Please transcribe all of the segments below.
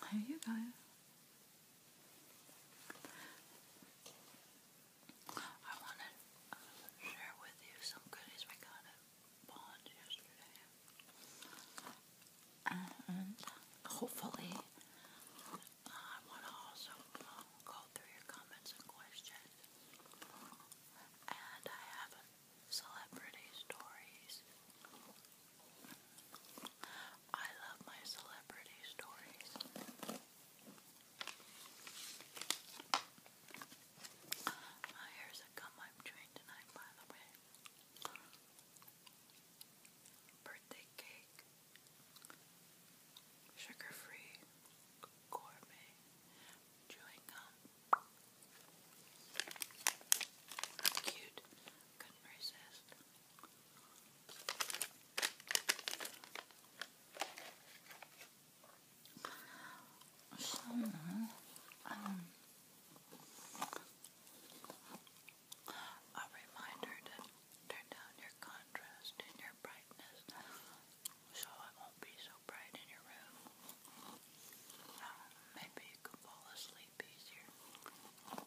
There you guys. I want to uh, share with you some goodies we got at Bond yesterday. And hopefully, I want to also uh, go through your comments and questions. And I have celebrity stories. I love my celebrity stories. My hair's a gum I'm chewing tonight, by the way. Birthday cake. Sugar free. Gourmet. Chewing gum. That's cute. Couldn't resist. So, um, a reminder to turn down your contrast and your brightness so it won't be so bright in your room. Oh, maybe you can fall asleep easier. All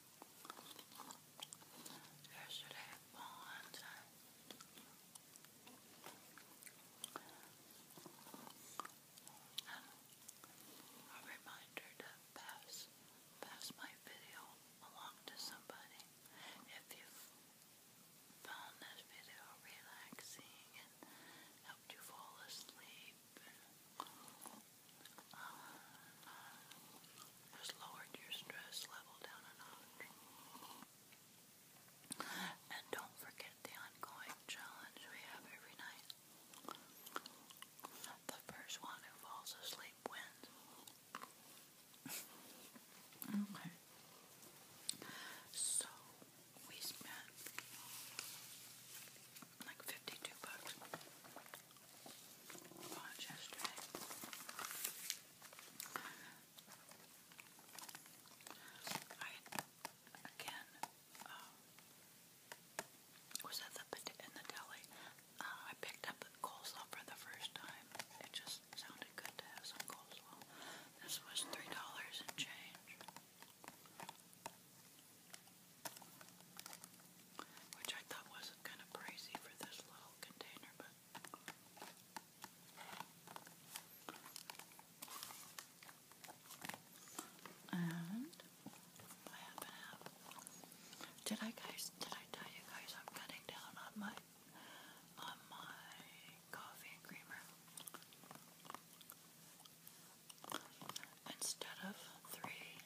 yesterday at Bond's. a reminder to pass, pass my video along to somebody if you've found this video relaxing and helped you fall asleep has lowered your stress level down a notch. And don't forget the ongoing challenge we have every night. The first one who falls asleep wins. okay. So we spent like fifty-two bucks I again um, was at the in the deli. Uh, I picked up the coleslaw for the first time. It just sounded good to have some coleslaw. This was three dollars and change which I thought wasn't kind of pricey for this little container, but. And Did I guys? Did I tell you guys I'm cutting down on my on my coffee creamer? Instead of three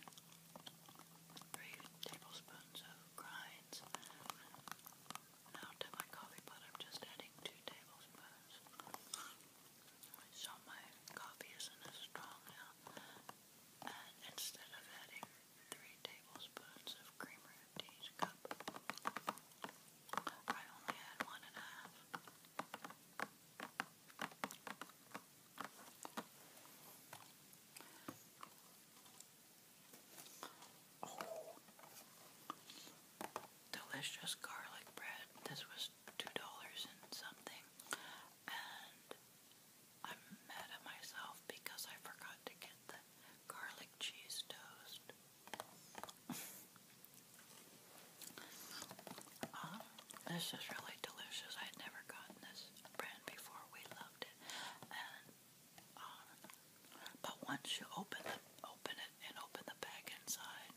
three tablespoons of grinds. Now to my coffee pot, I'm just adding two tablespoons. So my coffee isn't as strong now. And instead of adding three tablespoons of creamer to each cup, I only add one and a half. Oh. delicious garlic bread. This was two dollars and something, and I'm mad at myself because I forgot to get the garlic cheese toast. Um, this is really delicious. I'd never gotten this brand before. We loved it, and um, but once you open open it and open the bag inside,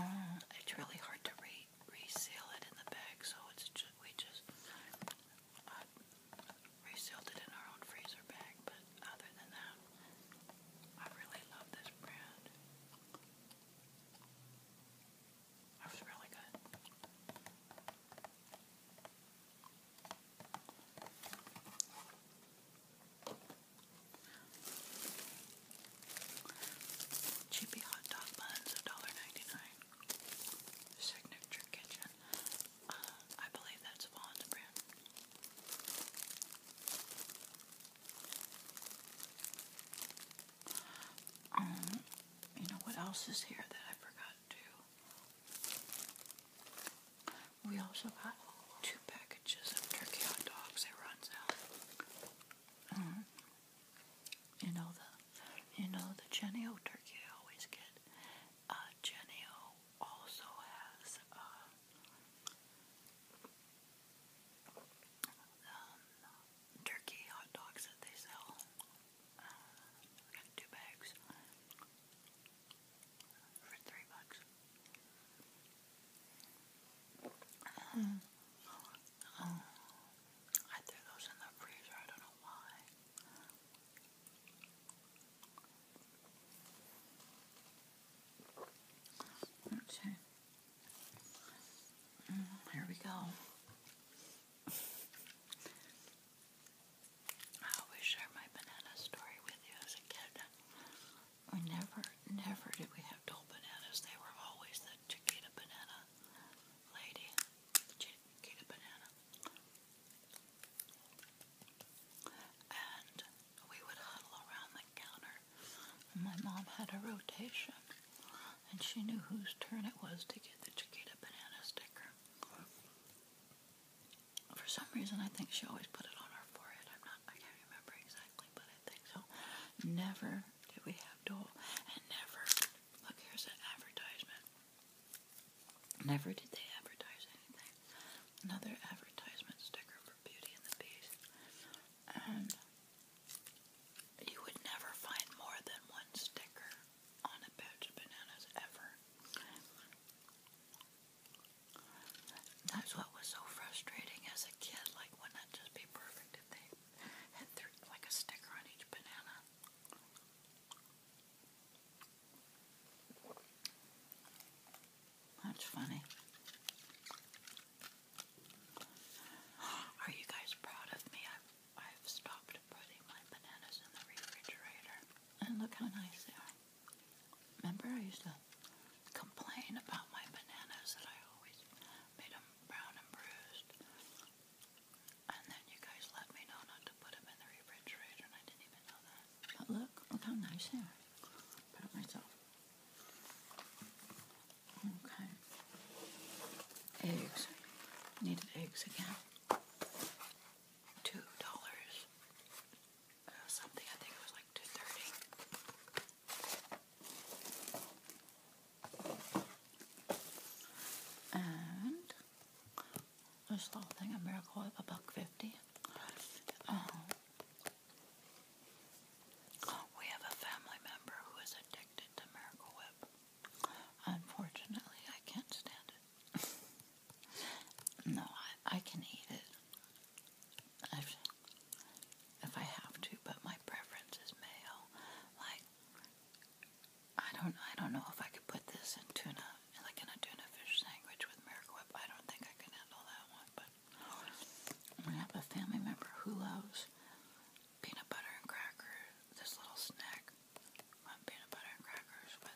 uh, it's really hard to re reseal it in the bag. So it's we just uh, resealed it in our own freezer bag. But other than that, I really love this brand. Cheapy hot dog buns, $1.99. Signature Kitchen. Uh, I believe that's Vaughn's Um, you know what else is here that I forgot? We also got two packages of turkey hot dogs. It runs out. Mm-hmm. You know the, you know the Genio turkey I always get. Uh, Genio also has uh, um, turkey hot dogs that they sell. I got two bags for three bucks. Hmm. I threw those in the freezer. I don't know why. Okay. Hmm, here we go. I always share my banana story with you as a kid. We never, never did we have dull bananas. They were always the chiquita banana lady. Chiquita banana. And we would huddle around the counter. My mom had a rotation, and she knew whose turn it was to get the chiquita banana sticker. For some reason, I think she always put it on her forehead. I'm not, I can't remember exactly, but I think so. Never did we have Dole, and never, look, here's an advertisement. Never did they advertise anything. Another advertisement sticker for Beauty and the Beast. And you would never find more than one sticker on a patch of bananas ever. That's what was so frustrating as a kid. Like, wouldn't that just be perfect if they had like a sticker on each banana? That's funny. Are you guys proud of me? I've stopped putting my bananas in the refrigerator, and look how nice they are. Remember, I used to complain about my bananas that I always made them brown and bruised, and then you guys let me know not to put them in the refrigerator, and I didn't even know that. But look, look how nice they are. Put myself. Okay. Eggs. Needed eggs again two dollars uh, something. I think it was like two thirty. And this little thing, a miracle a buck fifty. Uh-huh. we have a family member who is addicted to Miracle Whip. Unfortunately, I can't stand it. no, I, I can eat it if I have to, but my preference is mayo. Like, I don't, I don't know if I could put this in tuna, like in a tuna fish sandwich with Miracle I don't think I can handle that one. But we have a family member who loves peanut butter and crackers, this little snack. peanut butter and crackers with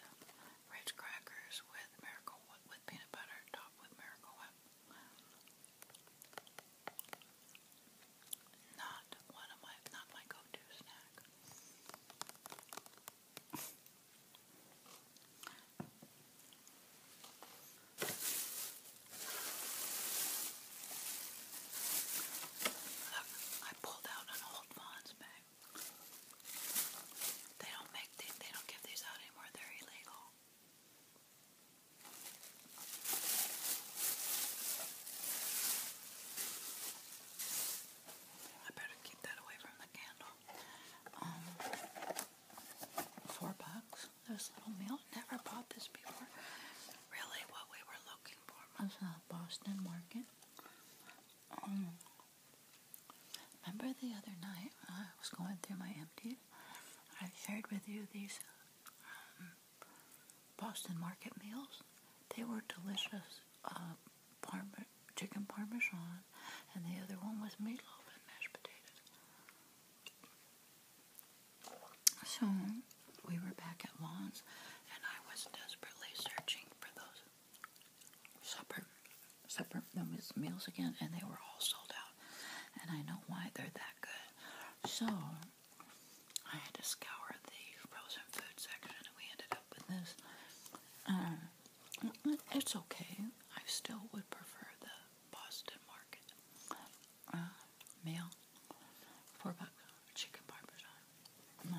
Ritz crackers with Miracle Whip, with peanut butter topped with Miracle Whip. Not one of my, not my go-to snack. I pulled out an old old Vons They don't make these, they don't give these out anymore. They're illegal. I better keep that away from the candle. Um, four bucks. This little meal. Never bought this before. Really, what we were looking for was a Boston Market. Um, remember the other night when I was going through my empties? I shared with you these um, Boston Market meals. They were delicious. Uh, chicken parmesan, and the other one was meatloaf and mashed potatoes. So we were back at Lawns, and I was desperately searching for those supper, supper no, meals again, and they were all sold out. And I know why they're that good. So I had to scour the frozen food section, and we ended up with this. Uh, it's okay. I still would prefer the Boston Market uh, meal. Four bucks chicken parmesan.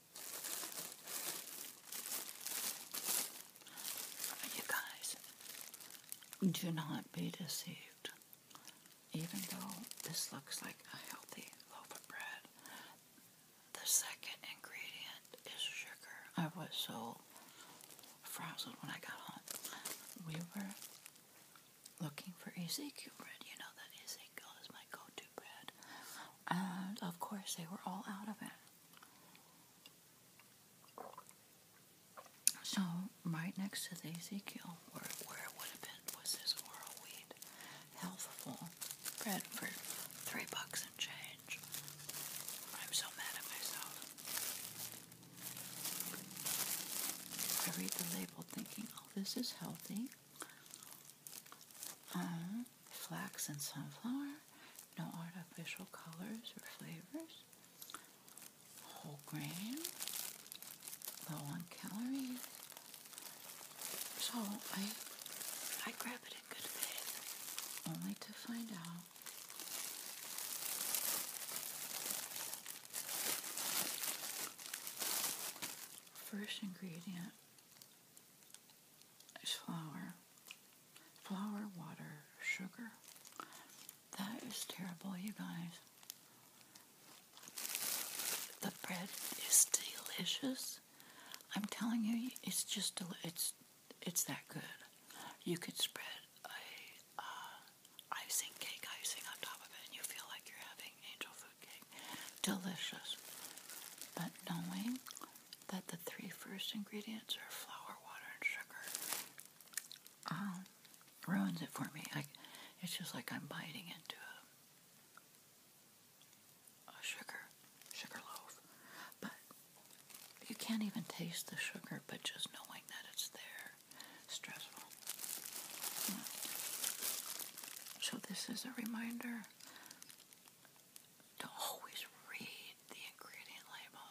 You guys, do not be deceived. Even though this looks like a healthy loaf of bread, the second ingredient is sugar. I was so frazzled when I got home. We were looking for Ezekiel bread. You know that Ezekiel is my go to bread. And of course, they were all out of it. So, right next to the Ezekiel, where, where it would have been, was this Oral wheat, Healthful Bread for three bucks and change. I'm so mad at myself. I read the label thinking, oh, this is healthy. Uh-huh flax and sunflower, no artificial colors or flavors, whole grain, low on calories. So I I grab it in good faith, only to find out first ingredient is flour, flour, water, sugar. That is terrible, you guys. The bread is delicious. I'm telling you, it's just it's it's that good. You could spread a icing cake icing on top of it, and you feel like you're having angel food cake. Delicious, but knowing that the three first ingredients are flour, water, and sugar. Um, ruins it for me. Like it's just like I'm biting into a, sugar, sugar loaf. But you can't even taste the sugar, but just knowing that it's there, stressful. So this is a reminder to always read the ingredient label.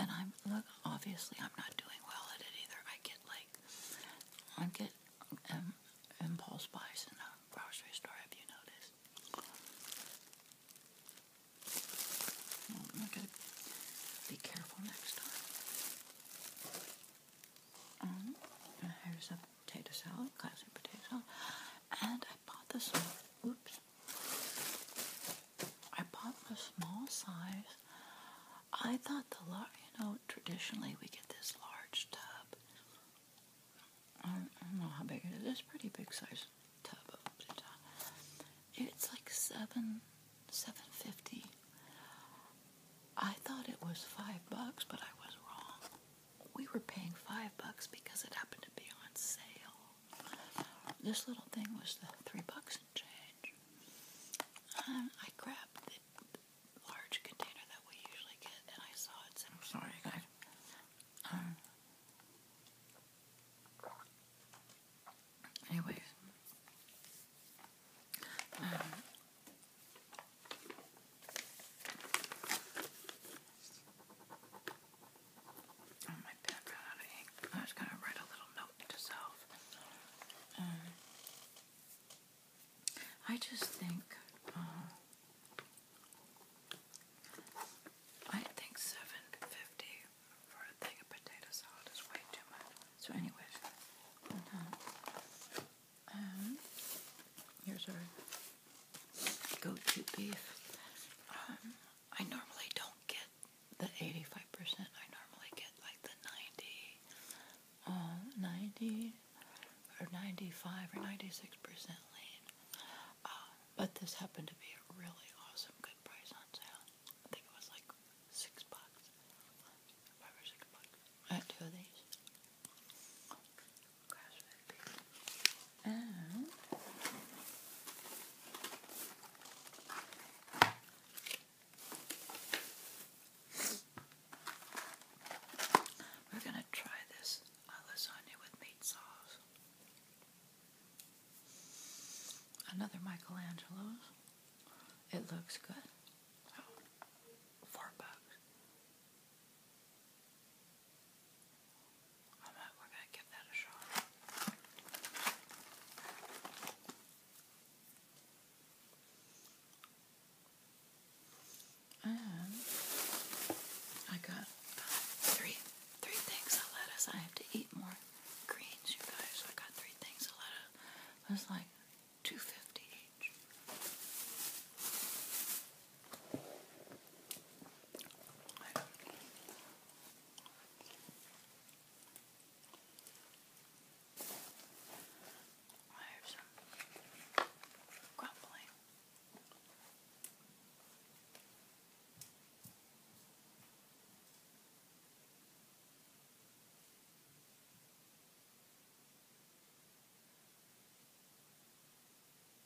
And I'm look, obviously I'm not doing well at it either. I get like I get um, impulse buys in the grocery store. Have you noticed? I'm gonna be careful next time. Um, here's a potato salad, classic potato salad. And I bought this. small, oops, I bought the small size. I thought the large, you know, traditionally we get this large tub. I don't know how big it is. It's pretty big size tub. It's like seven, seven fifty. I thought it was five bucks, but I was wrong. We were paying five bucks because it happened to be on sale. This little thing was the three bucks and change. Um, I grabbed the large container that we usually get, and I saw it. I'm sorry, guys. Um, Oh, my pen ran out of ink. I was going to write a little note to self. Um, I just think, uh, I think seven fifty for a thing of potato salad is way too much. So, anyways, uh, um, here's our go-to beef. Um, I normally don't get the 85%. I normally get like the 90, uh, or 95 or 96% lean. Uh, but this happened to be a really awesome good price on sale. I think it was like six bucks. Five or six bucks. I had two of these. And we're going to try this lasagna with meat sauce. Another Michelangelo's. It looks good. Oh, four bucks. I'm going to give that a shot. And I got three three things of lettuce. I have to eat more greens, you guys. I got three things of lettuce. It was like two fifty each. I have some crumbling. I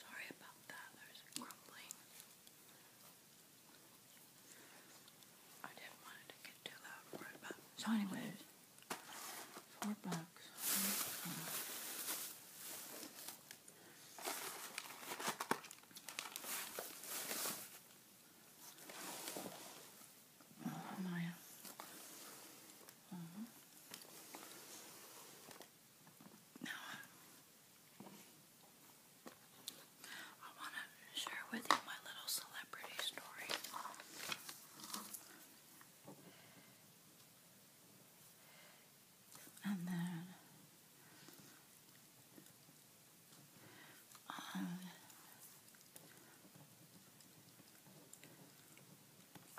Sorry about that, there's grumbling. I didn't want it to get too loud so anyways, four bucks. Oh, Maya. Uh -huh. Now, I want to share with you my little celebrity story and then um,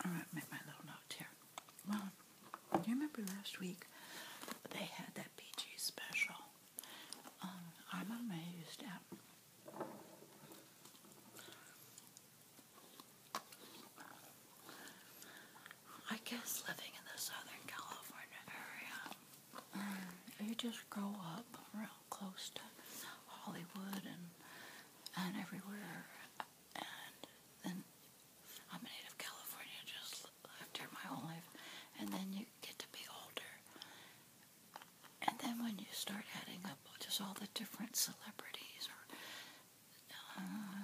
all right, make my little note here. Well, you remember last week they had that PG special. Um, I'm amazed I guess living in the Southern California area, you just grow up real close to Hollywood and and everywhere. And then I'm a native California, just lived here my whole life. And then you get to be older. And then when you start adding up just all the different celebrities or uh,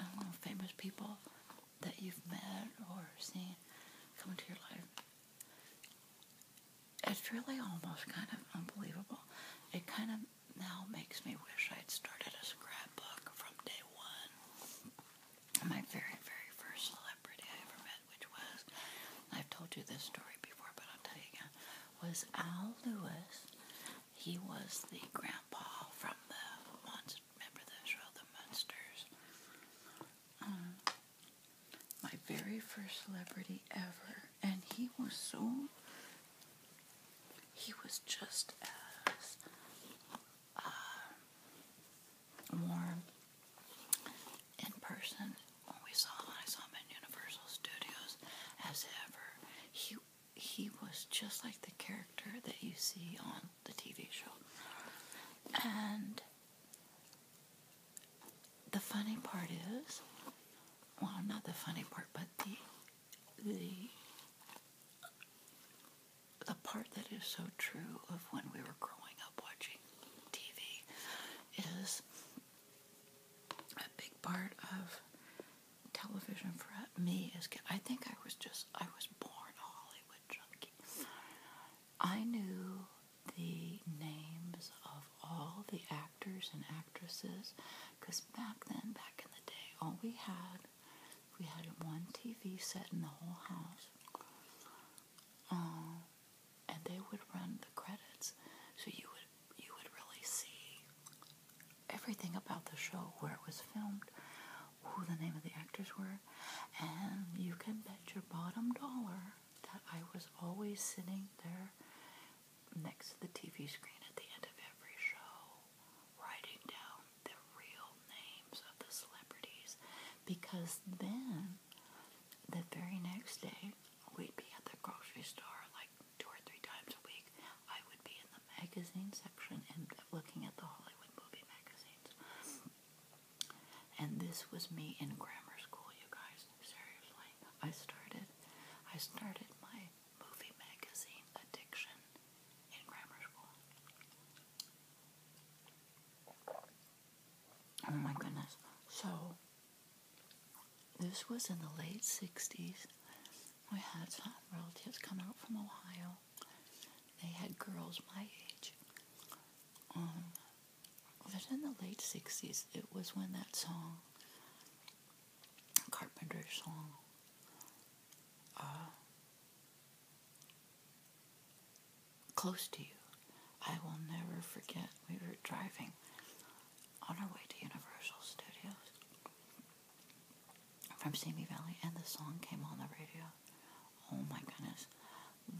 I don't know, famous people that you've met or seen come into your life. It's really almost kind of unbelievable. It kind of now makes me wish I'd started a scrapbook from day one. My very, very first celebrity I ever met, which was, I've told you this story before, but I'll tell you again, was Al Lewis. He was the grandpa from the Remember the show, The Munsters? Um, my very first celebrity ever, and he was so. He was just as um, warm in person when we saw him. I saw him at Universal Studios as ever. He he was just like the character that you see on the TV show. And the funny part is, well, not the funny part, but the the the part that is so true of when we were growing up watching TV is a big part of television for me is I think I was just I was born all I knew the names of all the actors and actresses because back then, back in the day, all we had, we had one TV set in the whole house. Um, and they would run the credits, so you would you would really see everything about the show, where it was filmed, who the name of the actors were, there, and you can bet your bottom dollar that I was always sitting there next to the TV screen at the end of every show, writing down the real names of the celebrities, because then the very next day we'd be at the grocery store like two or three times a week. I would be in the magazine section and looking at the Hollywood movie magazine. And this was me in grammar school, you guys. Seriously, I started, I started my movie magazine addiction in grammar school. Oh my goodness. So, this was in the late 60s. We had some relatives come out from Ohio they had girls my age. Um, it was in the late 60s. It was when that song, Carpenter song, uh, Close to You. I will never forget. We were driving on our way to Universal Studios from Simi Valley, and the song came on the radio. Oh my goodness.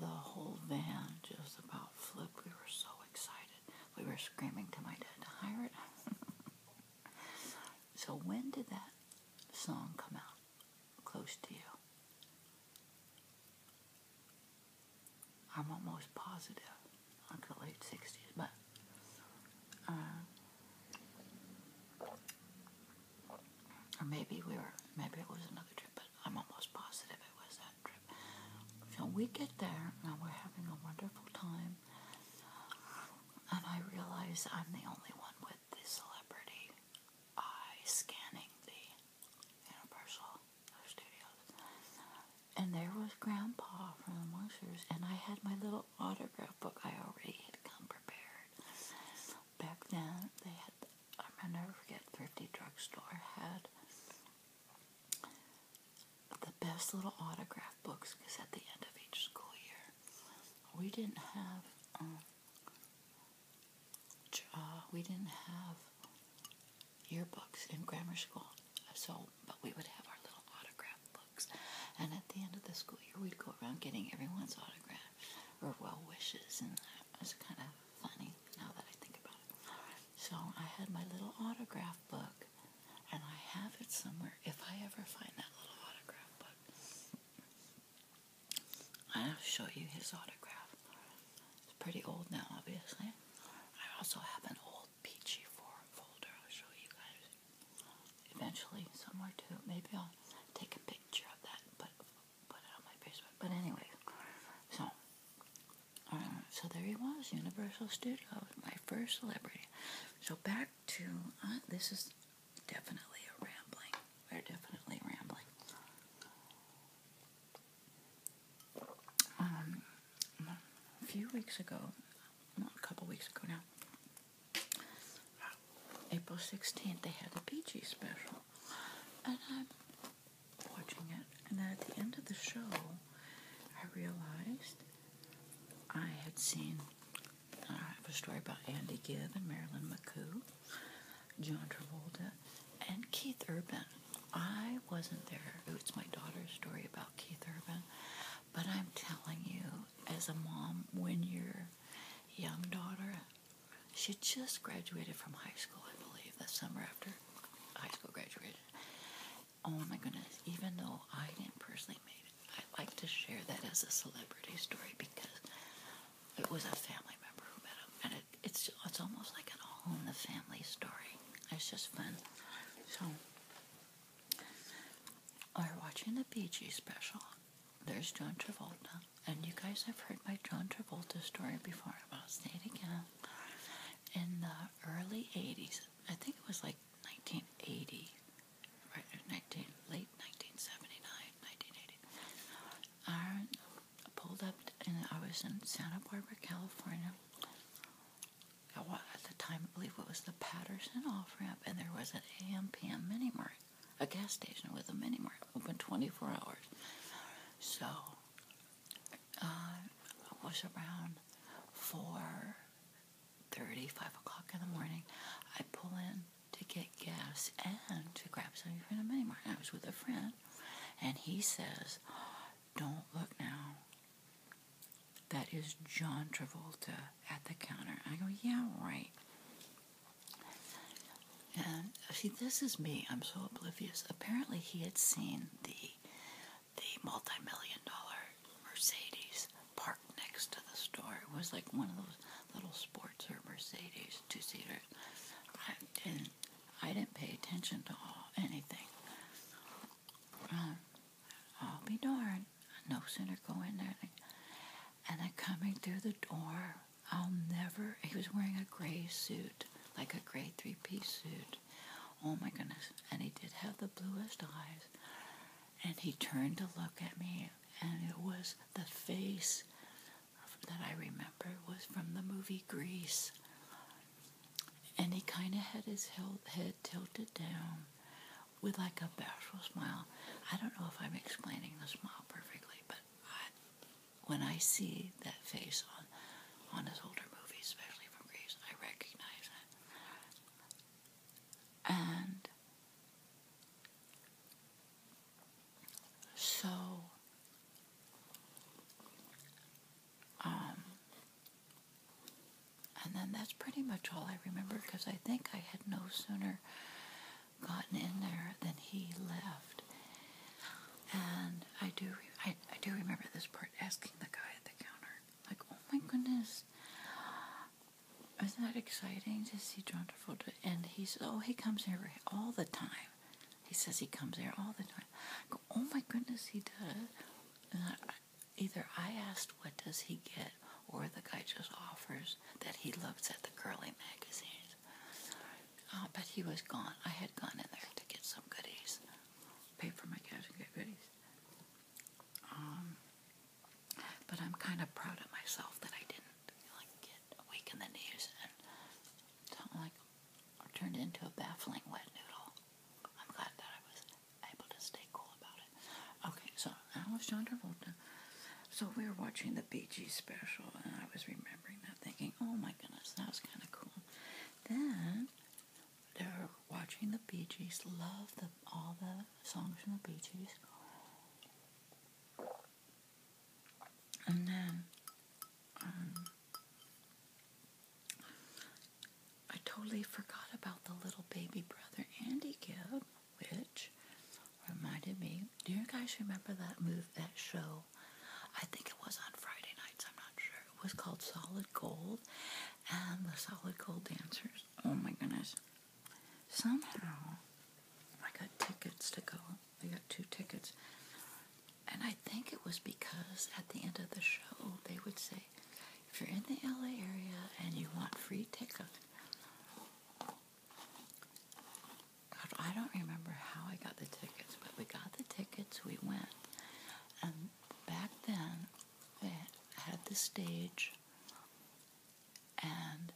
The whole van just about flipped. We were so excited. We were screaming to my dad to hire it. so when did that song come out? Close to you. I'm almost positive. Not the late 60s, but uh, or maybe we were, maybe it was another trip, but I'm almost positive it was that trip. So we get there, and we're having a wonderful time, and I realize I'm the only one with the celebrity eye scanning the Universal Studios. And there was Grandpa from the Monsters, and I had my little autograph book I already had come prepared back then they had I'll never forget Thrifty Drugstore had the best little autograph books because at the end of each school year we didn't have um, uh, we didn't have yearbooks in grammar school so but we would have our little autograph books and at the end of the school year we'd go around getting everyone's autograph or well wishes, and that was kind of funny now that I think about it. So I had my little autograph book, and I have it somewhere. If I ever find that little autograph book, I'll show you his autograph. It's pretty old now, obviously. I also have an old peachy folder. I'll show you guys eventually somewhere too. Maybe I'll take a picture of that, but put it on my basement. But anyway, so uh, so there he was, Universal Studios, my first celebrity. So back to uh, this is definitely a rambling. We're definitely rambling. Um, a few weeks ago, well, a couple weeks ago now, April 16th, they had the Peachy special. And I'm watching it. And then at the end of the show, I realized I had seen uh, a story about Andy Gibb and Marilyn McCoo, John Travolta, and Keith Urban. I wasn't there. It's my daughter's story about Keith Urban. But I'm telling you, as a mom, when your young daughter she just graduated from high school, I believe, the summer after high school graduated. Oh my goodness, even though I didn't personally meet it, I would like to share that as a celebrity story because it was a family member who met him. And it's, it's almost like an all in the family story. It's just fun. So, we're watching the Bee special. There's John Travolta and you guys have heard my John Travolta story before, about I'll In the early 80s, I think it was like 1980, right, 19, late 1979, 1980, I pulled up and I was in Santa Barbara, California. At the time, I believe it was the Patterson off ramp, and there was an AM PM mini mart a gas station with a mini mart open 24 hours. So, uh, it was around 4 30, 5 o'clock in the morning. I pull in to get gas and to grab something from the mini mart. I was with a friend, and he says, Don't look now. That is John Travolta at the counter. I go, Yeah, right. And uh, see, this is me. I'm so oblivious. Apparently, he had seen the the multi-million dollar Mercedes parked next to the store. It was like one of those little sports or Mercedes two-seater. I didn't. I didn't pay attention to anything. Um, I'll be darned. No sooner go in there, and then coming through the door I'll never. He was wearing a gray suit, like a gray three piece suit. Oh my goodness. And he did have the bluest eyes. And he turned to look at me, and it was the face that I remember was from the movie Grease. And he kind of had his head tilted down with like a bashful smile. I don't know if I'm explaining the smile perfectly, but when I see that face on on his older movies, especially from Greece, I recognize it. And so um and then that's pretty much all I remember because I think I had no sooner gotten in there than he left. And I do, I, I do remember this part asking the guy at the counter, like, "Oh my goodness, isn't that exciting to see John Travolta?" And he says, "Oh, he comes here all the time." He says he comes here all the time. go, "Oh my goodness, he does." either I asked, "What does he get?" or the guy just offers that he looks at the girly magazines. Uh, but he was gone. I had gone in there to get some goodies, pay for my cab, and get goodies. Um, but I'm kind of proud of myself that I didn't like get awake in the news and something like turned into a baffling wet noodle. I'm glad that I was able to stay cool about it. Okay, so that was John Travolta. So we were watching the Bee Gees special, and I was remembering that, thinking, oh my goodness, that was kind of cool. Then they were watching the Bee Gees, love all the songs from the Bee Gees. And then um, I totally forgot about the little baby brother Andy Gibb which reminded me. Do you guys remember that move, that show? I think it was on Friday nights. I'm not sure. It was called Solid Gold, and the Solid Gold dancers. Oh my goodness! Somehow, I got tickets to go. I got two tickets, and I think it was because at the end of the show they would say, "If you're in the LA area and you want free tickets." I don't remember how I got the tickets, but we got the tickets, we went. And back then, they had the stage and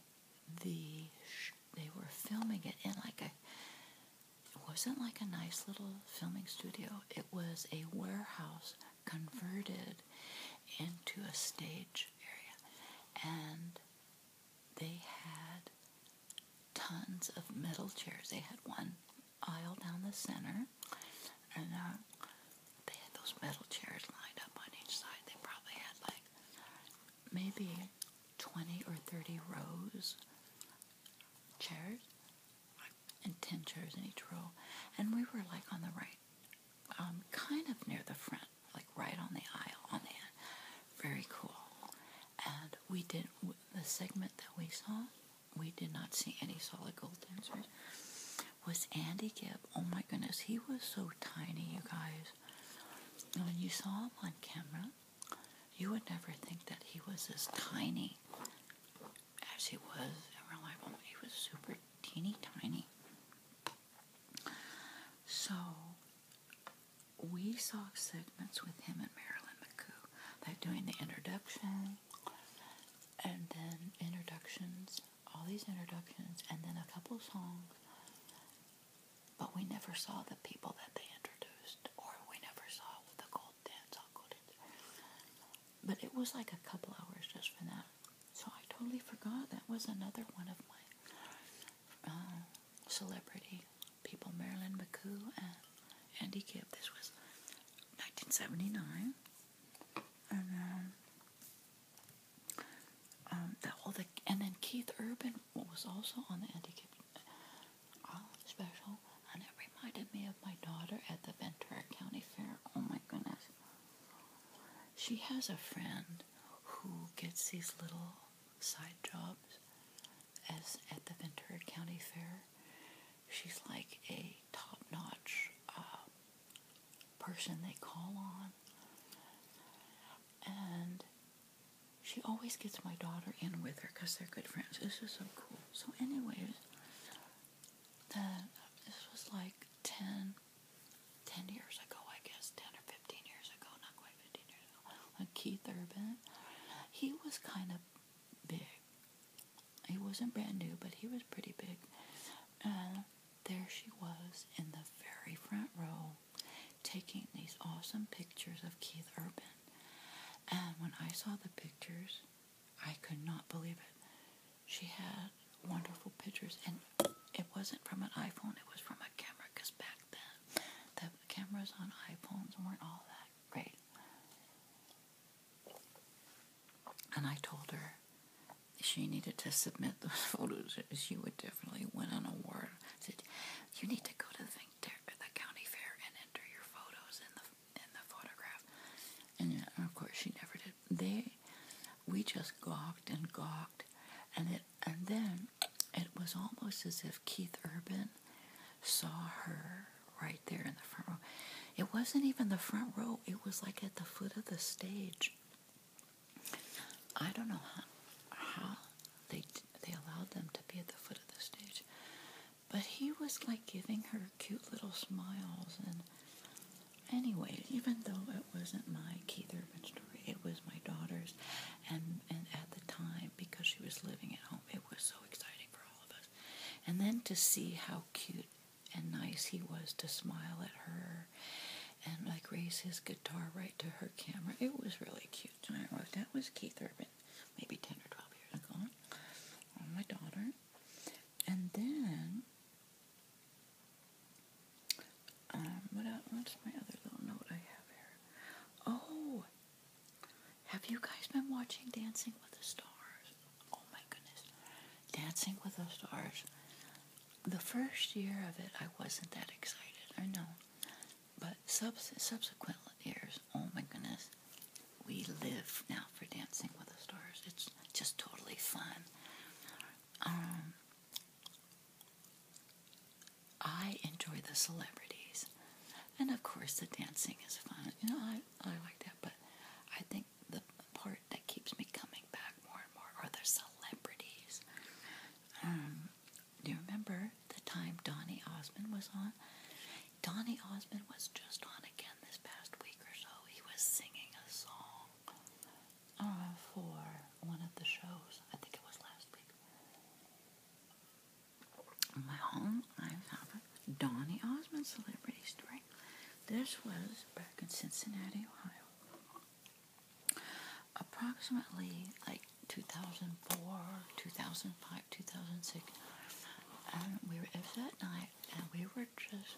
the they were filming it in like a it wasn't like a nice little filming studio. It was a warehouse converted into a stage area. And they had tons of metal chairs. They had one aisle down the center, and uh, they had those metal chairs lined up on each side. They probably had like maybe 20 or 30 rows chairs and 10 chairs in each row. And we were like on the right, um, kind of near the front like right on the aisle, on the end. Very cool. And we did the segment that we saw. We did not see any solid gold dancers. Was Andy Gibb? Oh my goodness, he was so tiny, you guys. When you saw him on camera, you would never think that he was as tiny as he was in real life. Oh, he was super teeny tiny. So we saw segments with him and Marilyn McCoo. They're doing the introduction and then introductions, all these introductions, and then a couple songs. But we never saw the people that they introduced, or we never saw the gold dance, all gold dance. But it was like a couple hours just for that. So I totally forgot that was another one of my uh, celebrity people, Marilyn McCoo and Andy Gibb. This was 1979, and um, um, the, all the and then Keith Urban was also on the Andy Gibb uh, special, and it reminded me of my daughter at the Ventura County Fair. Oh my goodness, she has a friend who gets these little side jobs as at the Ventura County Fair. She's like a top-notch uh, person they call on, and she always gets my daughter in with her because they're good friends. This is so cool. So, anyways, the, this was like ten 10 years ago, I guess, 10 or 15 years ago, not quite 15 years ago, when Keith Urban, he was kind of big. He wasn't brand new, but he was pretty big. And there she was in the very front row taking these awesome pictures of Keith Urban. And when I saw the pictures, I could not believe it. She had wonderful pictures, and it wasn't from an iPhone, it was from a camera because back then the cameras on iPhones weren't all that great. And I told her she needed to submit those photos. She would definitely win an award. I said, "You need to go to the, the county fair and enter your photos in the in the photograph." And, and uh, of course, she never did. They, we just gawked and gawked, and it and then it was almost as if Keith Urban saw her right there in the front row. It wasn't even the front row, it was like at the foot of the stage. I don't know how, they they allowed them to be at the foot of the stage. But he was like giving her cute little smiles and anyway, even though it wasn't my Keith Urban story, it was my daughter's and and at the time because she was living at home. It was so exciting for all of us. And then to see how cute and nice he was to smile at her and like raise his guitar right to her camera. It was really cute. that was Keith Urban, maybe 10 or 12 years ago, my daughter. And then um, what's my other little note I have here? Oh, have you guys been watching Dancing with the Stars? Oh my goodness, Dancing with the Stars. The first year of it, I wasn't that excited. I know, but subsequent years, oh my goodness, we live now for Dancing with the Stars. It's just totally fun. Um, I enjoy the celebrities. And of course, the dancing is fun. You know, I, I like that, but I think the part that keeps me coming back more and more are the celebrities. Um, do you remember the time Donnie Osmond was on? Donnie Osmond was just on again this past week or so. He was singing a song uh, for one of the shows. I think it was last week. In my home, I have a Donny Osmond celebrity story. This was back in Cincinnati, Ohio. Approximately like 2004, 2005, 2006. And we were, it was that night, and we were just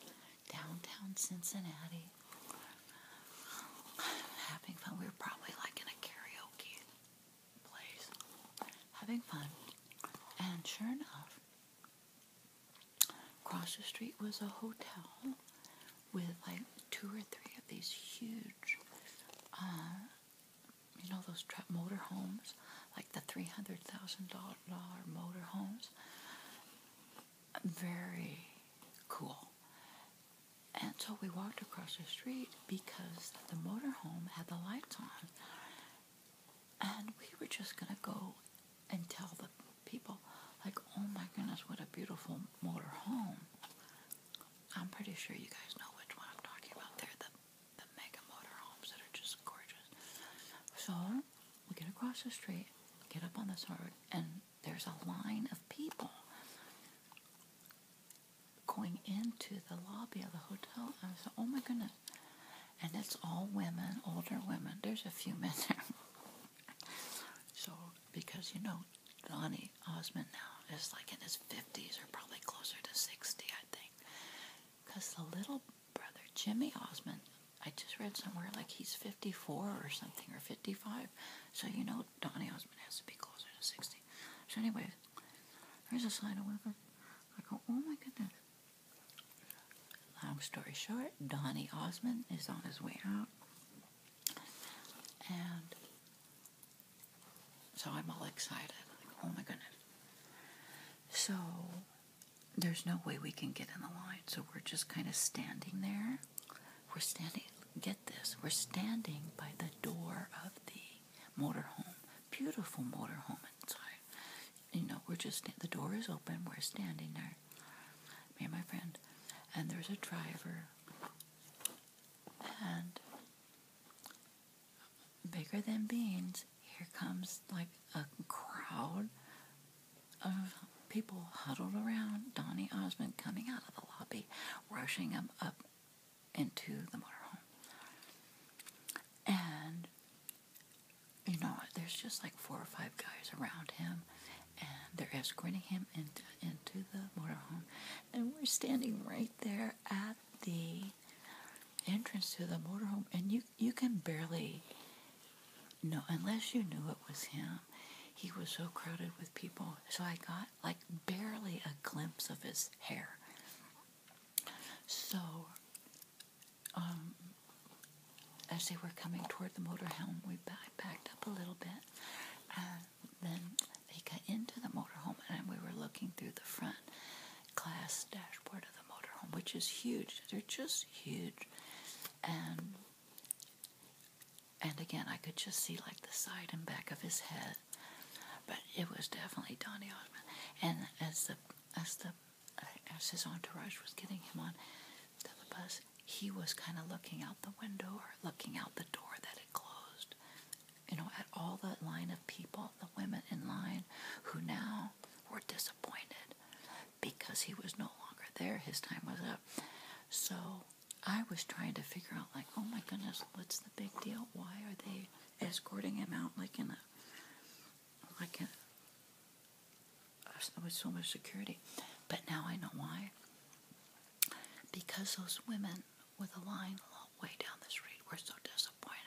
downtown Cincinnati having fun. We were probably like in a karaoke place, having fun. And sure enough, across the street was a hotel with like two or three of these huge, uh, you know, those tra- motor homes, like the three hundred thousand dollar motor homes. Very cool, and so we walked across the street because the motor home had the lights on. And we were just going to go and tell the people, like, oh my goodness, what a beautiful motor home!" I'm pretty sure you guys know which one I'm talking about. There, the, mega motor homes that are just gorgeous. So we get across the street, get up on this road, and there's a line of people going into the lobby of the hotel. I was like, oh my goodness. And it's all women, older women. There's a few men there. so, because you know, Donnie Osmond now is like in his 50s or probably closer to 60, I think. Because the little brother, Jimmy Osmond, I just read somewhere like he's 54 or something or 55. So, you know, Donald, Donny Osmond has to be closer to 60. So anyway, there's a slide of Wilkins. I go, oh my goodness. Long story short, Donny Osmond is on his way out. And so I'm all excited. oh my goodness. So there's no way we can get in the line. So we're just kind of standing there. We're standing, get this, we're standing by the door of the motorhome. Beautiful motorhome inside. You know, we're just, the door is open, we're standing there, me and my friend. And there's a driver, and bigger than beans, here comes like a crowd of people huddled around Donnie Osmond coming out of the lobby, rushing him up into the motorhome. And you know, there's just like four or five guys around him, and they're escorting him into into the motorhome, and we're standing right there at the entrance to the motorhome, and you you can barely know unless you knew it was him. He was so crowded with people, so I got like barely a glimpse of his hair. So, um, as they were coming toward the motorhome, we backed up a little bit, and then they got into the motorhome, and we were looking through the front glass dashboard of the motorhome, which is huge. They're just huge, and and again, I could just see like the side and back of his head, but it was definitely Donny Osmond. And as the as the as his entourage was getting him on to the bus, he was kind of looking out the window or looking out the door that had closed. You know, at all the line of people, the women in line, who now were disappointed because he was no longer there. His time was up. So I was trying to figure out, like, oh my goodness, what's the big deal? Why are they escorting him out like in a, like in, was so much security? But now I know why. Because those women with a line a long way down the street were so disappointed.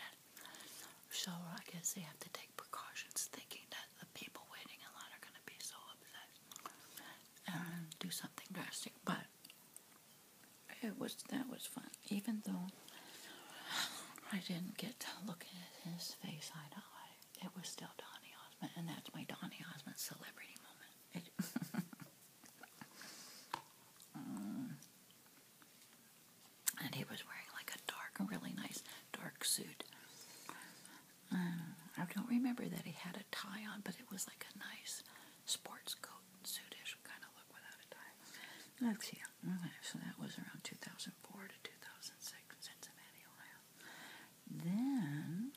So I guess they have to take precautions, thinking that the people waiting in line are going to be so upset and do something drastic. But it was that was fun. Even though I didn't get to look at his face eye to eye, it was still Donny Osmond, and that's my Donny Osmond celebrity moment. Um, and he was wearing like a dark, really nice dark suit. Um, I don't remember that he had a tie on, but it was like a nice sports coat suitish kind of look without a tie. Let's see. Okay, so that was around 2004 to 2006 Then,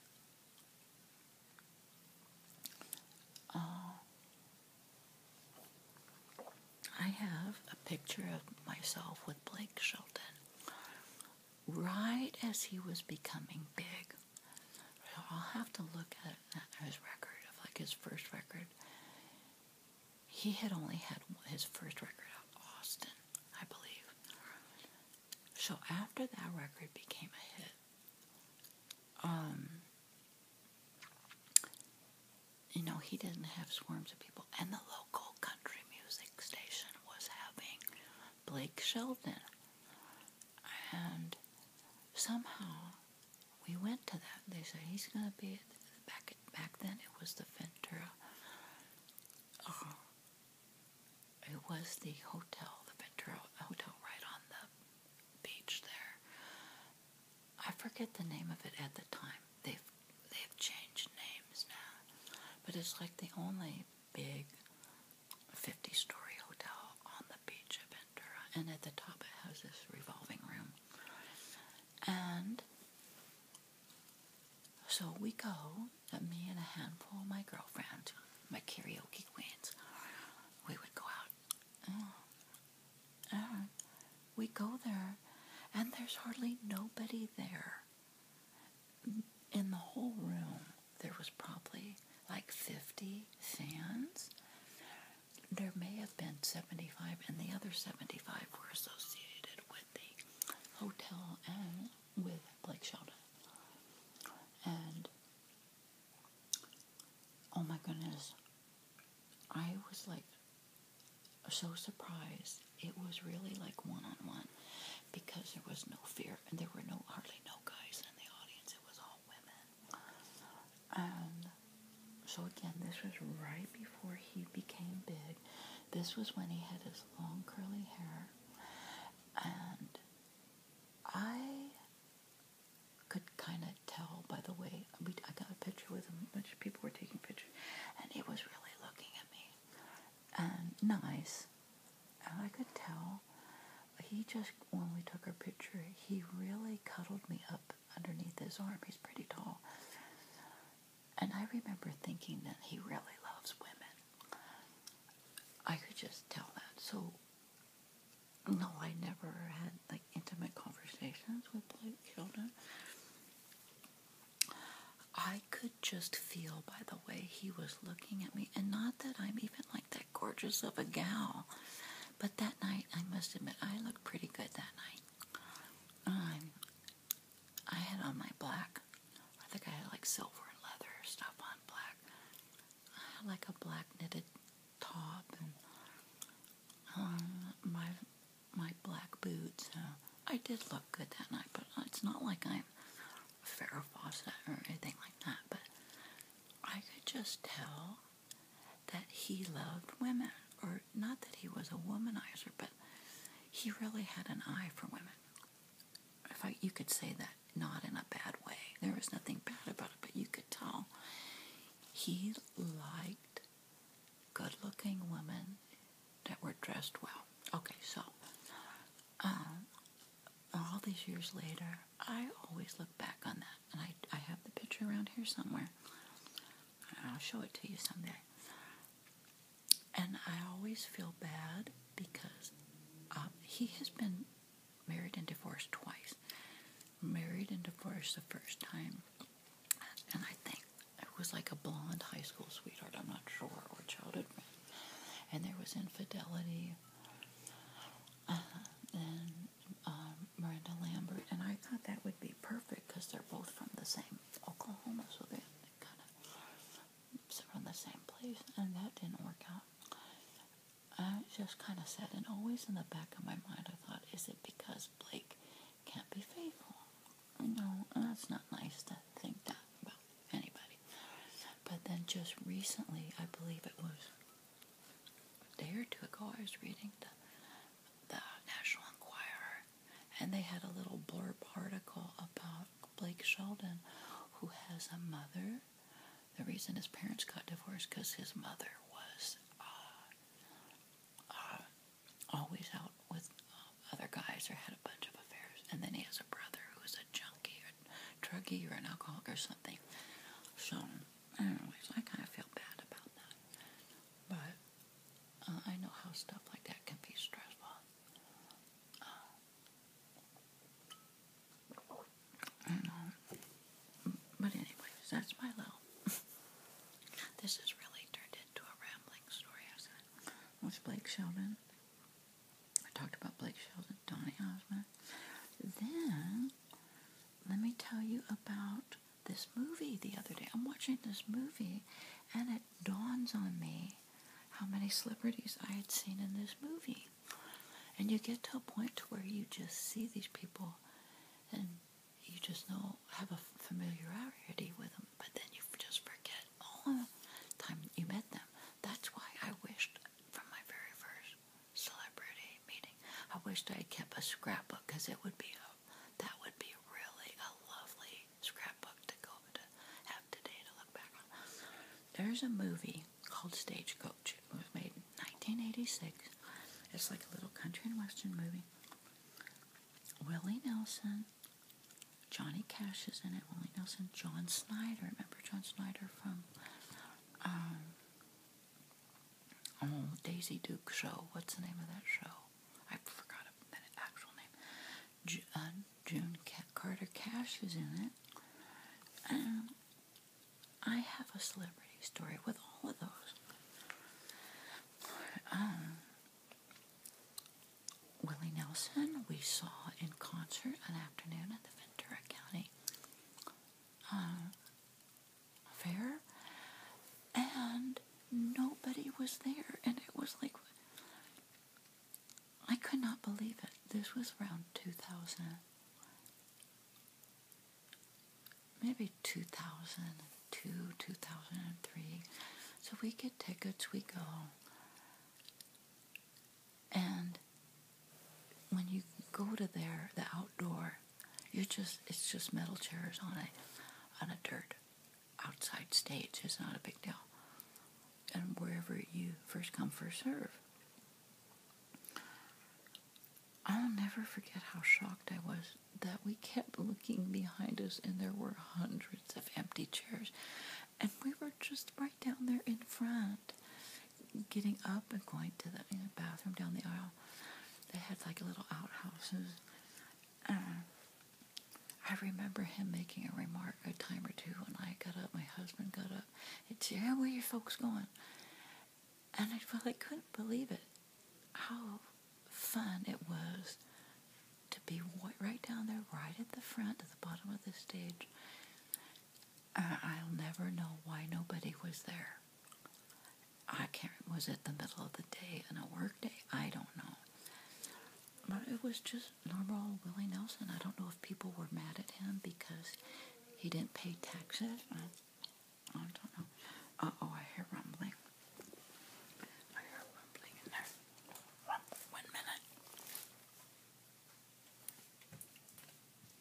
uh, I have a picture of myself with Blake Shelton right as he was becoming big. I'll have to look at his record of like his first record. He had only had his first record out Austin, I believe. So after that record became a hit, um, you know, he didn't have swarms of people, and the local country music station was having Blake Shelton and somehow we went to that. They said he's going to be back. Back then, it was the Ventura. Uh, it was the hotel, the Ventura Hotel, right on the beach there. I forget the name of it at the time. They've they've changed names now, but it's like the only big 50 story hotel on the beach of Ventura, and at the top it has this revolving room. And so we go, me and a handful of my girlfriend, my karaoke queens, we would go out. Uh, uh, we go there, and there's hardly nobody there in the whole room there was probably like 50 fans. There may have been 75, and the other 75 were associated with the hotel and with Blake Shelton. And oh my goodness, I was like so surprised. It was really like one on one because there was no fear and there were no hardly no guys in the audience. It was all women. Um, so again, this was right before he became big. This was when he had his long curly hair, and I could kind of tell by the way we, I got a picture with him. Bunch of people were taking pictures, and he was really looking at me, and nice, and I could tell he just, when we took our picture, he really cuddled me up underneath his arm. He's pretty tall. And I remember thinking that he really loves women. I could just tell that. So, no, I never had like intimate conversations with like children. I could just feel by the way he was looking at me, and not that I'm even like that gorgeous of a gal. But that night, I must admit, I looked pretty good that night. Um, I had on my black. I think I had like silver and leather stuff on black. I had like a black knitted top and um, my my black boots. Uh, I did look good that night, but it's not like I'm Farrah Fawcett or anything like that. But I could just tell that he loved women, or not that he was a womanizer, but he really had an eye for women. If I, you could say that, not in a bad way. There was nothing bad about it, but you could tell he liked good-looking women that were dressed well. Okay, so um, all these years later, there. I always look back on that, and I, I have the picture around here somewhere. I'll show it to you someday. And I always feel bad because uh, he has been married and divorced twice. Married and divorced the first time, and I think it was like a blonde high school sweetheart, I'm not sure, or childhood friend. And there was infidelity uh, uh-huh. than uh, um, Miranda Lambert, and I thought that would be perfect because they're both from the same Oklahoma, so they kind of from the same place, and that didn't work out. I just kind of said, and always in the back of my mind, I thought, is it because Blake can't be faithful? No, that's not nice to think that about anybody. But then just recently, I believe it was a day or two ago, I was reading the, the National Enquirer, and they had a little blurb article about Blake Sheldon, who has a mother. The reason his parents got divorced because his mother was uh, uh, always out with uh, other guys or had a bunch of affairs, and then he has a brother who's a junkie a druggie or an alcoholic or something. So, anyways, I kind of feel bad about that. But uh, I know how stuff like that can be stressful. I um, know. But anyways, that's my little. this is really turned into a rambling story. I was Blake Shelton, I talked about Blake Shelton, Donny Osmond. Then, let me tell you about this movie the other day. I'm watching this movie and it dawns on me how many celebrities I had seen in this movie. And you get to a point to where you just see these people and you just know, have a familiarity with them, but then you just forget all the time you met them. That's why I wished from my very first celebrity meeting. I wished I had kept a scrapbook because it would be a, that would be really a lovely scrapbook to go to have today to look back on. There's a movie called Stagecoach. It was made in 1986. It's like a little country and western movie. Willie Nelson, Johnny Cash is in it. Willie Nelson, John Snyder. Remember John Snyder from um, Oh, Daisy Duke show. What's the name of that show? I forgot the actual name. Uh, June Cat Carter Cash was in it. Um, I have a celebrity story with all of those. Um, Willie Nelson, we saw in concert an afternoon at the Ventura County uh, affair, and nobody was there, and it was like I could not believe it. This was around 2000, maybe 2002, 2003. So we get tickets, we go. And when you go to there, the outdoor, you just it's just metal chairs on a on a dirt outside stage. It's not a big deal. And wherever you first come, first serve. I'll never forget how shocked I was that we kept looking behind us and there were hundreds of empty chairs. And we were just right down there in front getting up and going to the bathroom down the aisle. They had like a little outhouse. I remember him making a remark a time or two when I got up, my husband got up. It's said, yeah, where are your folks going? And I really couldn't believe it. How fun it was to be right down there, right at the front, at the bottom of the stage. Uh, I'll never know why nobody was there. I can't. Was it the middle of the day and a work day? I don't know. But it was just normal Willie Nelson. I don't know if people were mad at him because he didn't pay taxes. I don't know. Uh oh, I hear rumbling. I hear rumbling in there. One minute.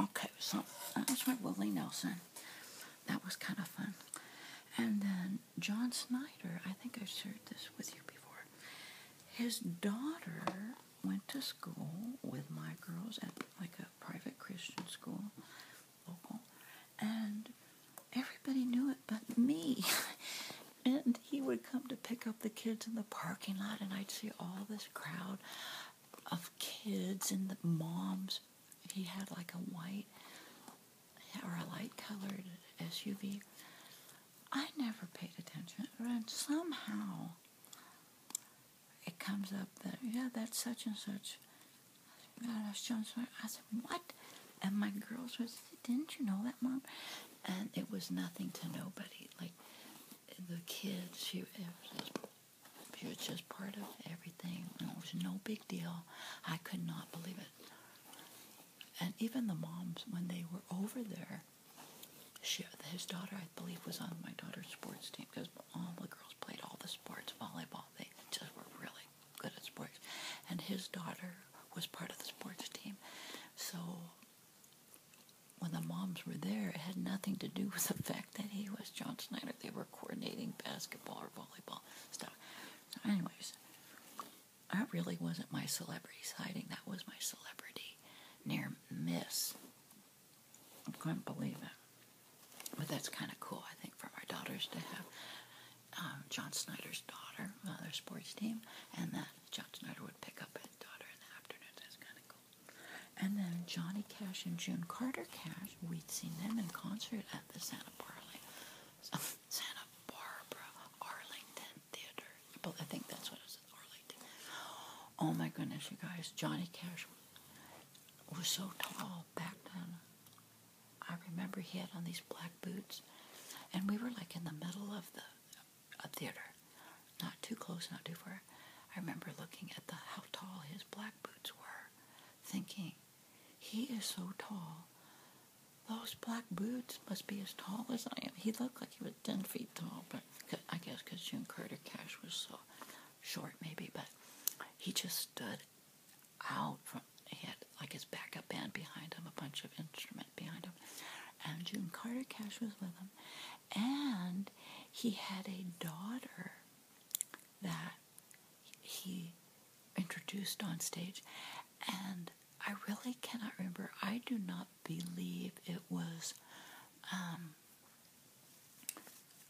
Okay, so that was my Willie Nelson. That was kind of fun. And then John Snyder, I think i shared this with you before. His daughter went to school with my girls at like a private Christian school, local, and everybody knew it but me. it he would come to pick up the kids in the parking lot, and I'd see all this crowd of kids and the moms. He had like a white or a light colored SUV. I never paid attention, and somehow it comes up that, yeah, that's such and such. I was I said, what? And my girls was, didn't you know that, Mom? And it was nothing to nobody. Like, the kids, she was just, part of everything. It was no big deal. I could not believe it. And even the moms, when they were over there, she, his daughter, I believe, was on my daughter's sports team because all the girls played all the sports, volleyball. They just were really good at sports. And his daughter was part of the sports team. So when the moms were there, it had nothing to do with the fact that he was John Snyder. They were coordinating basketball or volleyball stuff. So, anyways, that really wasn't my celebrity sighting. That was my celebrity near miss. I couldn't believe it. But that's kind of cool, I think, for our daughters to have um, John Snyder's daughter on uh, their sports team, and that John Snyder would pick up his daughter in the afternoon. That's kind of cool. And then Johnny Cash and June Carter Cash, we'd seen them in concert at the Santa Barbara, Santa Barbara Arlington Theater. I think that's what it was, Arlington. Oh my goodness, you guys, Johnny Cash was so tall back then. I remember he had on these black boots, and we were like in the middle of the a theater, not too close, not too far. I remember looking at the how tall his black boots were, thinking, he is so tall. Those black boots must be as tall as I am. He looked like he was ten feet tall, but I guess because June Carter Cash was so short, maybe. But he just stood out from. He had like his backup band behind him, a bunch of instrument behind him, and June Carter Cash was with him, and he had a daughter that he introduced on stage, and I really cannot remember. I do not believe it was um,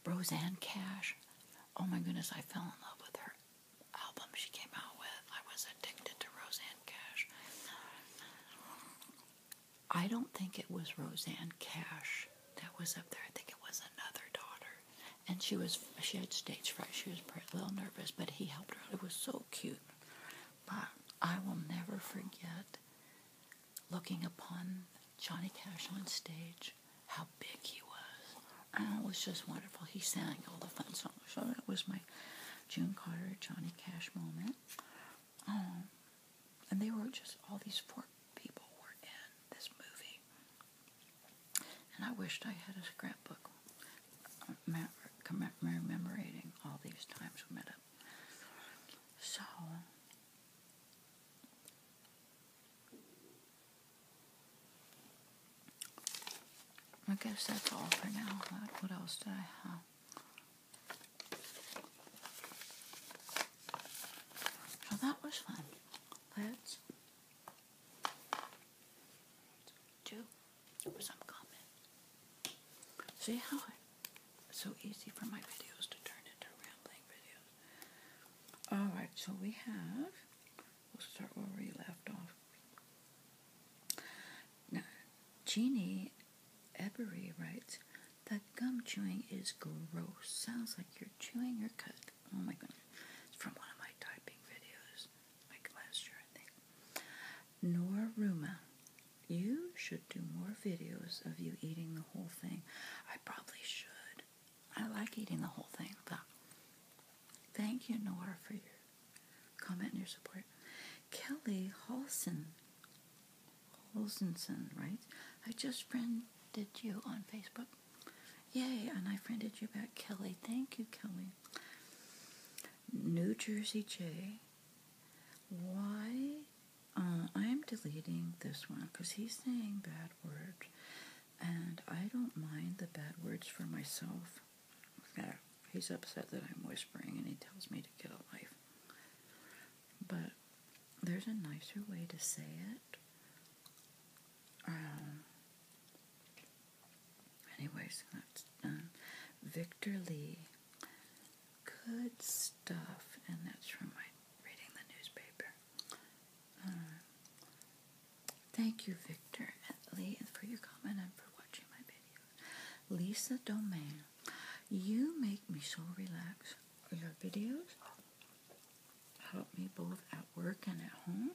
Roseanne Cash. Oh my goodness, I fell in love with her album she came out with. I was addicted to Roseanne Cash. I don't think it was Roseanne Cash that was up there. I think it was another daughter, and she was she had stage fright. She was a little nervous, but he helped her It was so cute. But I will never forget looking upon Johnny Cash on stage, how big he was. And it was just wonderful. He sang all the fun songs. So that was my June Carter Johnny Cash moment. Um, and they were just all these four people were in this movie. And I wished I had a scrapbook uh, commemorating all these times we met up. So, I guess that's all for now. What else did I have? So that was fun. Let's do some comment. See how it's so easy for my videos to turn into rambling videos. Alright, so we have, we'll start where we left off. Now, Jeannie Ebery writes that gum chewing is gross. Sounds like you're chewing your cut. Oh my goodness. It's from one of my typing videos, like last year, I think. Nor Ruma. You should do more videos of you eating the whole thing. I probably should. I like eating the whole thing, thank you, Nora, for your comment and your support. Kelly Halson Olsenson, right? I just friended you on Facebook. Yay, and I friended you back, Kelly. Thank you, Kelly. New Jersey J. Why? Uh, I'm deleting this one because he's saying bad words, and I don't mind the bad words for myself. He's upset that I'm whispering and he tells me to get a life but there's a nicer way to say it. Um, anyways, Victor Lee. Good stuff. And that's from my reading the newspaper. Um, thank you, Victor Lee, for your comment and for watching my video. Lisa Domain. You make me so relaxed. Your videos help me both at work and at home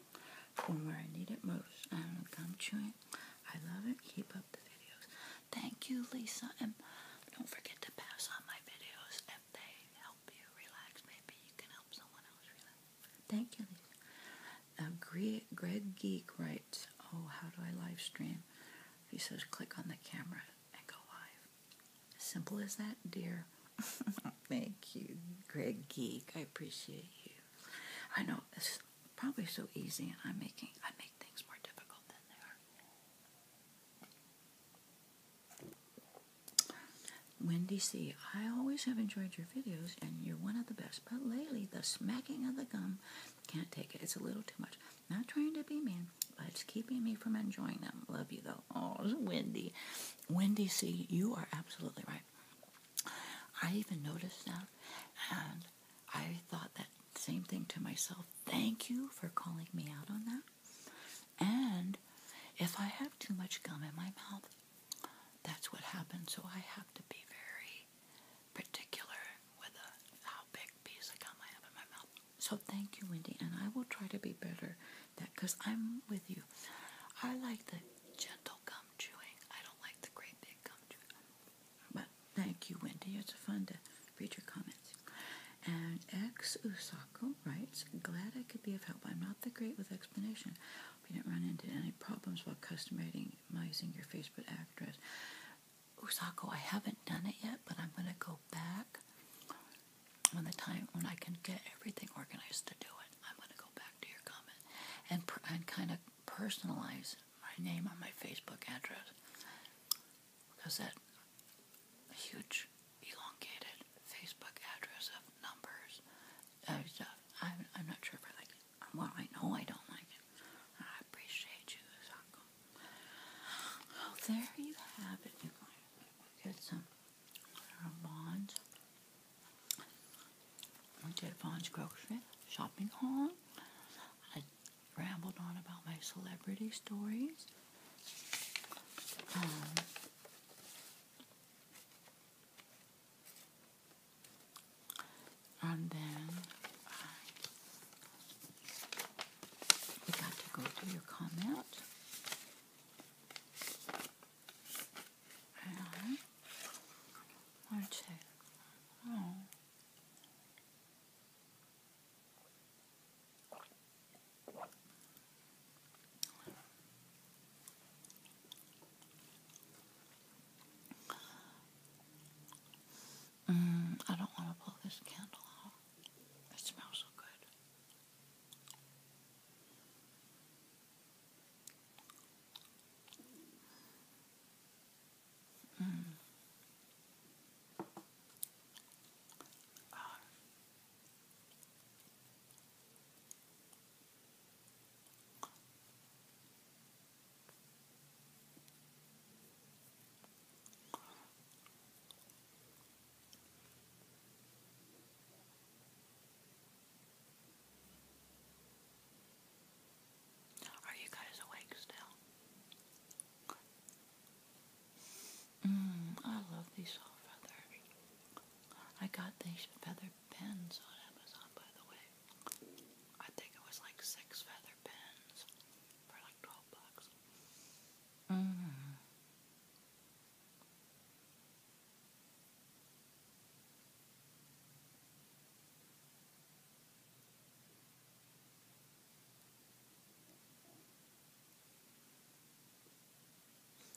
from where I need it most. I'm gum chewing. I love it. Keep up the videos. Thank you, Lisa. And don't forget to pass on my videos if they help you relax. Maybe you can help someone else relax. Thank you, Lisa. Greg Geek writes, Oh, how do I live stream? He says, click on the camera go live. Simple as that, dear. Thank you, Greg Geek. I appreciate you. I know it's probably so easy, and I'm making I make things more difficult than they are. Wendy C, I always have enjoyed your videos, and you're one of the best. But lately, the smacking of the gum can't take it. It's a little too much. Not trying to be mean, but it's keeping me from enjoying them. Love you though. Oh, Wendy. Wendy see, you are absolutely right. I even noticed that and I thought that same thing to myself. Thank you for calling me out on that. And if I have too much gum in my mouth, that's what happens. So I have to be very particular with uh, how big piece of gum I have in my mouth. So thank you, Wendy, and I will try to be better that because I'm with you. I like the gentle gum chewing. I don't like the great big gum chewing. But thank you, Wendy. It's fun to read your comments. And ex Usako writes, "Glad I could be of help. I'm not that great with explanation. We didn't run into any problems while customizing your Facebook address." Usako, I haven't done it yet, but I'm going to go back when the time when I can get everything organized to do it. I'm going to go back to your comment and and kind of personalize my name on my Facebook address because that huge elongated Facebook address of numbers and uh, stuff. I'm, I'm not sure if I like it. Well, I know I don't like it. I I appreciate you, Zako. there you have it, you guys. some bonds. I did Vaughn's grocery shopping haul. I rambled on about my celebrity stories. Um, and then you got to go to your comment. One, two. Oh. Mm, I don't want to blow this candle out. Oh, it smells so good. Mm. Uh. Are you guys awake still? Mmm, I love these all I got these feather pens on Amazon, by the way. I think it was like six feather pens for like 12 complex.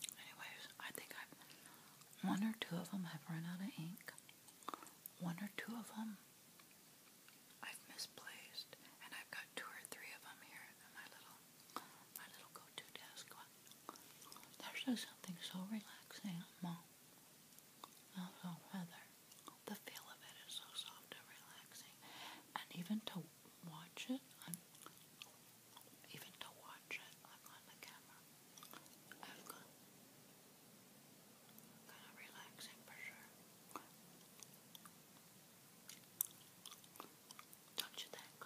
Anyways, I think I've one or two of them have run out of ink. One or two of them I've misplaced, and I've got two or three of them here in my little, my little go-to desk. There's just something so relaxing about also The feel of it is so soft and relaxing, and even to watch it, even to watch it, on the camera. Kind of relaxing for sure. Don't you think?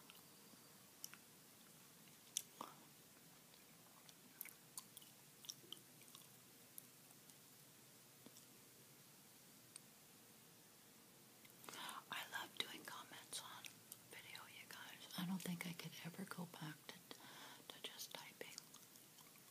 I love doing comments on video, you guys. I don't think I could ever go back to, to just typing.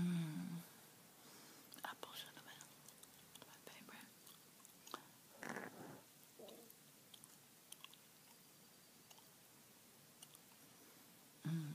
Mm. Apple cinnamon, my favorite. Mm.